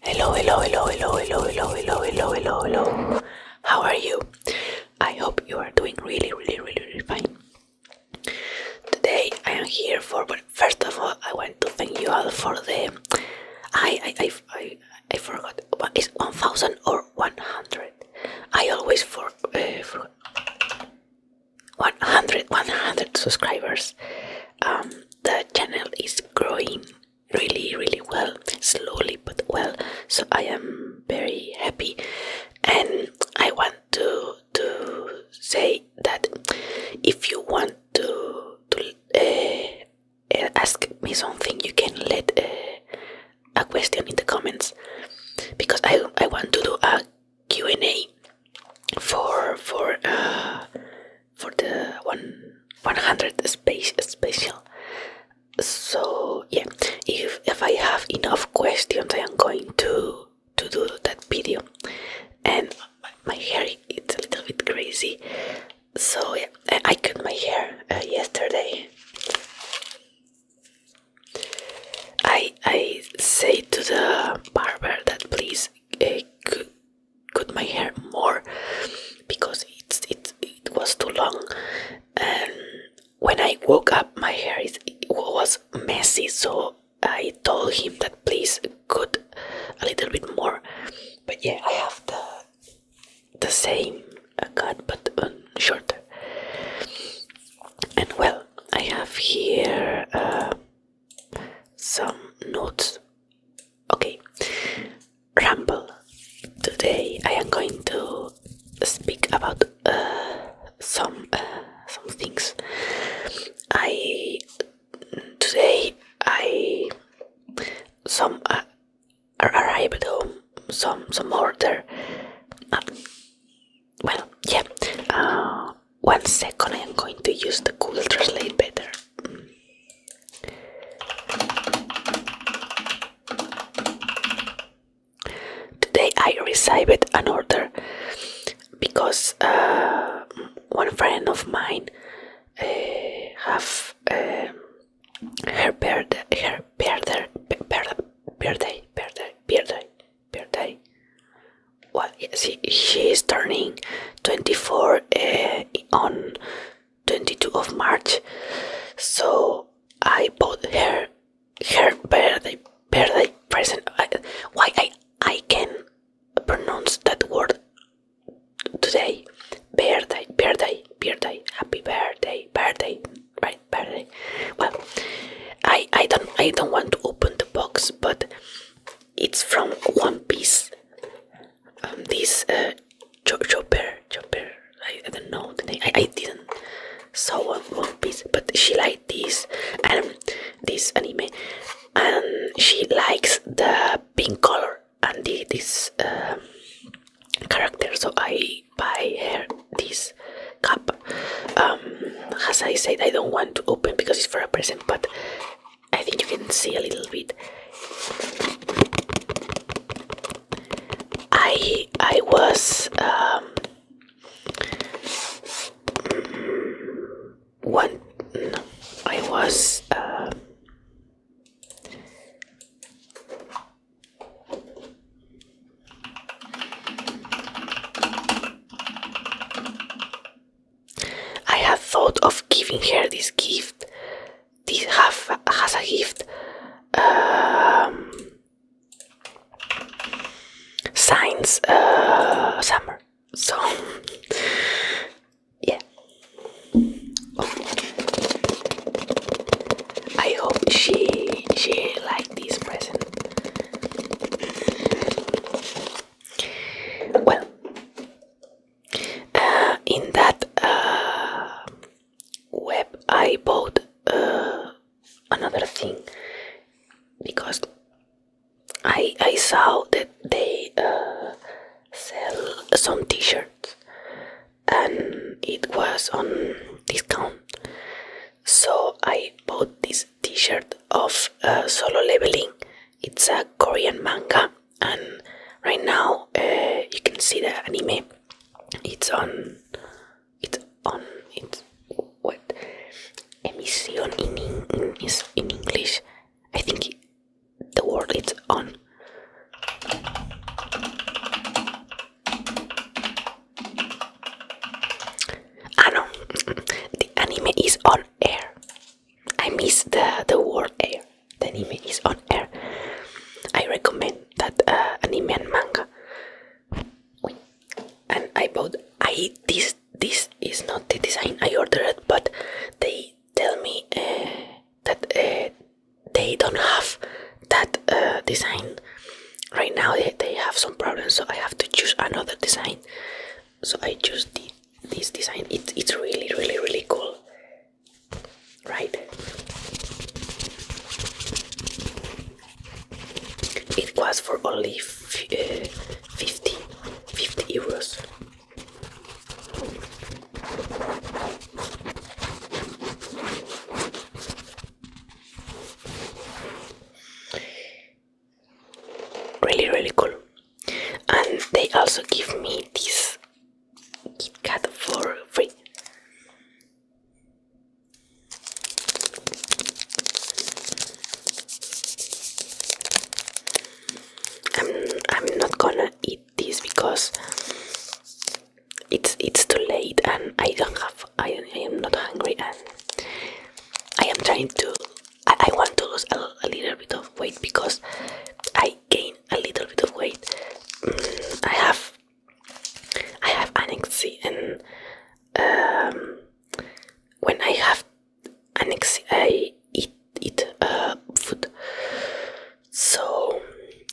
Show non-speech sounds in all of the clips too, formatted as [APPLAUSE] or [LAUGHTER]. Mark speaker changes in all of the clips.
Speaker 1: Hello, hello, hello, hello, hello, hello, hello, hello, hello, hello. How are you? I hope you are doing really, really, really, really fine. Today I am here for. first of all, I want to thank you all for the. I I I I, forgot. What is one thousand or one hundred. I always for uh, 100 100 subscribers um, the channel is growing really really well slowly but well so i am very happy and i want to to say that if you want to to eh, eh, ask me something you can let eh, a question in the comments because i i want to do a Q&A for for uh, for the one 100 space special so yeah if if i have enough questions i am going to to do that video and my hair is a little bit crazy so yeah i cut my hair uh, yesterday i i say to the barber that please uh, cut my hair more because it's, it's it was too long and um, when I woke up my hair is, was messy so I told him that please cut a little bit more but yeah I have the the same uh, cut but um, shorter and well I have here uh, some notes Okay, ramble. Today I am going to speak about uh, some uh, some things. I today I some arrive uh, arrived home some some order. well, yeah. one second, I am going to use the Google Translate better. Today I received an order because uh, one friend of mine uh, have uh, her birthday, her birthday, birthday, birthday, birthday, birthday. Well, yes, she, she is turning 24 uh, on 22 of March. So I bought her her birthday birthday present. I, why I I can pronounce that word today? Birthday, birthday, birthday. Happy birthday, birthday, right? Birthday. Well, I I don't I don't want to open the box, but it's from One Piece this uh, cho chopper, I, don't know the name. I, didn't saw one, piece, but she liked this and um, this anime, and she likes the pink color and the, this um, character. So I buy her this cup. Um, as I said, I don't want to open because it's for a present, but I think you can see a little bit. I I was um, one. I was. Uh, I have thought of giving her this gift, this has a gift um, signs uh, summer. So [LAUGHS] yeah, I hope she she liked this present. Well, uh, in that uh, web I bought uh, another thing because I I saw that they sell some T-shirts and it was on discount, so I bought this T-shirt of Solo Leveling. It's a Korean manga and right now uh, you can see the anime. It's on. It's on. It's what? Emission in in, in English. I think the word is on. Ah no, [LAUGHS] the anime is on air. I miss the the word air. The anime is on air. I recommend that uh, anime and manga. And I bought. I this this is not the design I ordered, but they tell me uh, that uh, they don't have that design right now. They, they have some problems, so I have to choose another design so I chose the, this design. It, it's really, really, really cool, right? It was for only f uh, 50 euros. Really, really cool and they also give me this Kit Kat for free. I'm I'm not gonna eat this because it's it's too late and I don't have I, I am not hungry and I am trying to I, I want to lose a little bit of weight because I gain a little bit of weight. Mm, I have I have anxiety and um, when I have anxiety I eat eat uh, food. So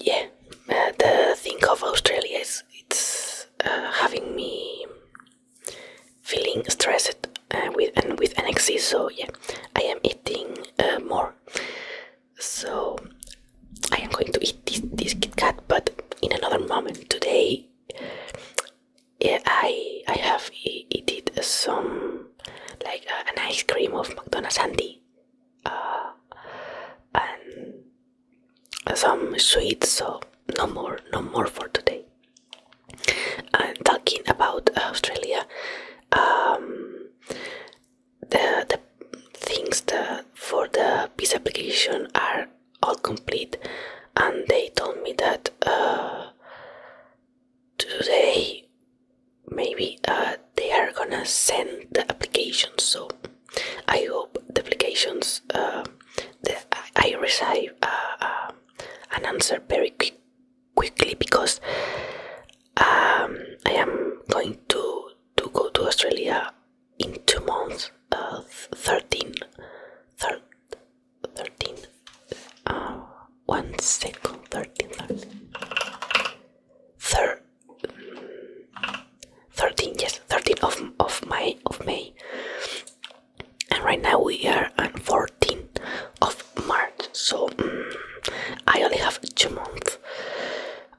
Speaker 1: yeah, uh, the thing of Australia is it's uh, having me feeling stressed uh, with and with anxiety. So yeah, I am uh, more. So I am going to eat this, this Kit but in another moment. Today, I I have eaten some like uh, an ice cream of McDonald's uh, and some sweets. So no more, no more for today uh, talking about Australia, um, the, the things the, for the peace application are all complete, and they told me that uh, today maybe uh, they are gonna send the application. So I hope the applications uh, I, receive uh, an answer very quick quickly because um, I am going to to go to Australia in two months, uh, 13, thir 13, Ah, one second, 13, 13, thir 13, yes, 13 of, of, my, of May. And right now we are on 14 14th of March, so mm, I only have two months.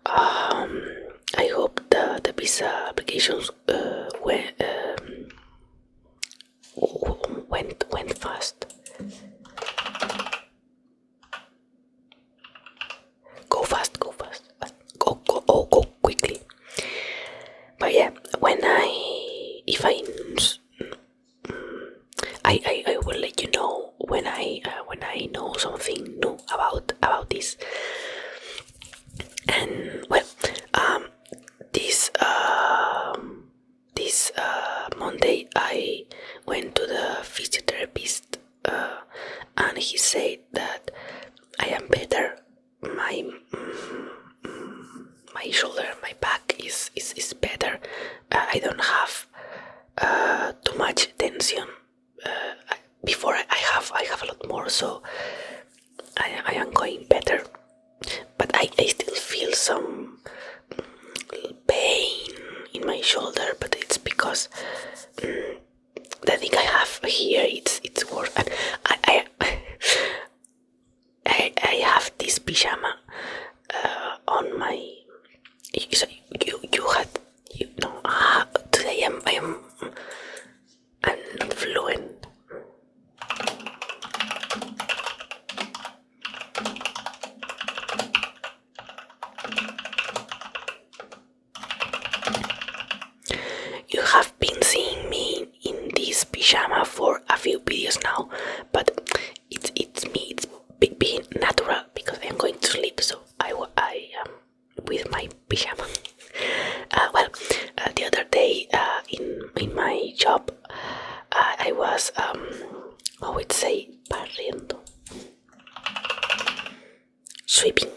Speaker 1: Um, I hope the, the visa applications uh, um, went, went fast. Go fast, go fast, go go oh, go quickly. But yeah, when I if I I, I, will let you know when I uh, when I know something new about about this. And well, um, this uh, this uh, Monday I went to the physiotherapist, uh, and he said that I am better. My mm, my shoulder, my back is is is better. Uh, I don't have uh, too much tension. Uh, before I have, I have a lot more, so I, am going better. But I, I still feel some pain in my shoulder, but it's because mm, the thing I have here it's it's worse. [LAUGHS] I, I have this pyjama uh, on my. So you you had you know uh, today I'm I'm I'm not You have been seeing me in this pyjama for a few videos now, but it's it's me, it's being natural because I'm going to sleep, so I, I am um, with my pyjama. [LAUGHS] Uh, well, uh, the other day uh, in, in my job, I was, um, I would say, barriendo, sweeping.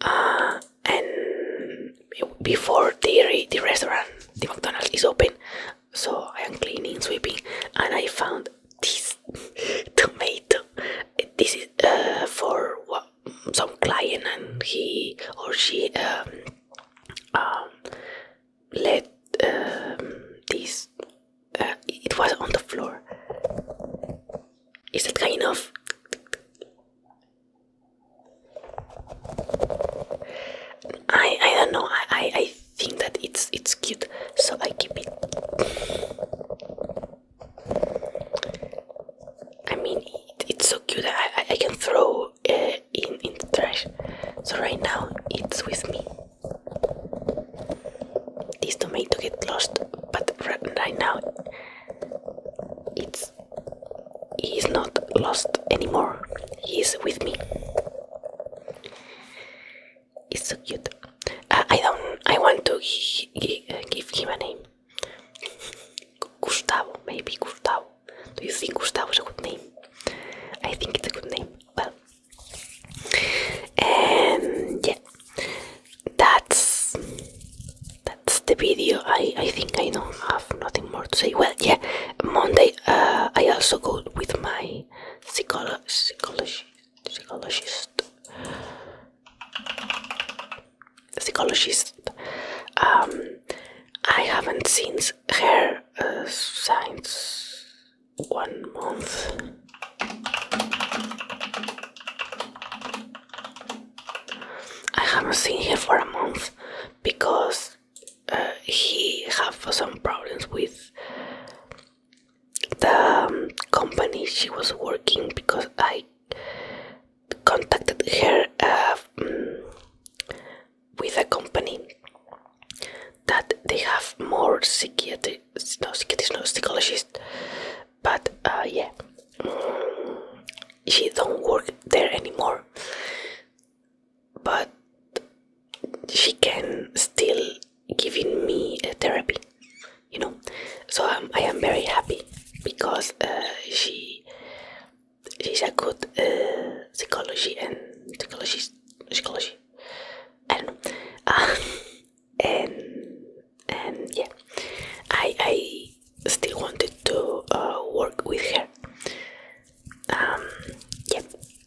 Speaker 1: and before the, the restaurant, the McDonald's is open, so I am cleaning, sweeping, and I found this [LAUGHS] tomato. This is uh, for some client, and he or she um, um let um, this. Uh, it was on the floor. Is that kind of? I I don't know. I, I think that it's it's cute, so I keep it. I mean, it's so cute. I I, I can throw it uh, in in the trash. So right now it's with me. This tomato get lost, but right now it's he's not lost anymore. He's with me. It's so cute. Uh, I don't. I want to uh, give him a name. Gustavo, maybe Gustavo. Do you think Gustavo is a good name? I think it's a good name. Well, and yeah, that's that's the video. I I think I don't have nothing more to say. Well, yeah, Monday uh, I also go with my psychologist, psychologist, um, I haven't seen her uh, since one month. I haven't seen her for a month because uh, he have some problems with the um, company she was working because I contacted her uh, mm, with a company that they have more psychiatric, no psychiatrist, no psychologist, but uh, yeah, mm, she don't work there anymore but she can still giving me a therapy you know so i am very happy because uh, she she's a good uh, psychology and psychologist psychology i don't know and and yeah i i still wanted to uh, work with her um yeah.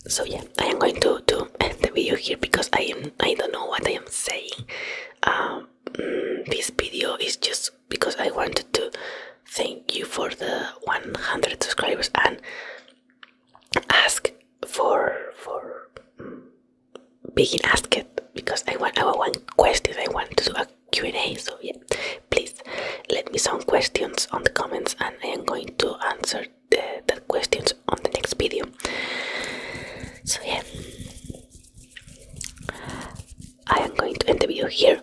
Speaker 1: so yeah i am going to to end the video here because i am i don't know what i am saying um mm, this video is just because i wanted to thank you for the 100 subscribers and ask for for mm, being asked because i want i want questions i want to do a q&a so yeah please let me some questions on the comments and I am going to answer the, questions on the next video. So yeah, I am going to end the video here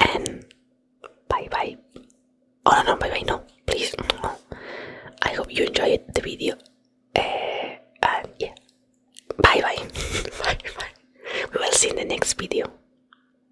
Speaker 1: and bye bye. Oh no, no bye bye, no, please. I hope you enjoyed the video. Eh, and yeah, bye bye. [LAUGHS] bye bye. We will see in the next video.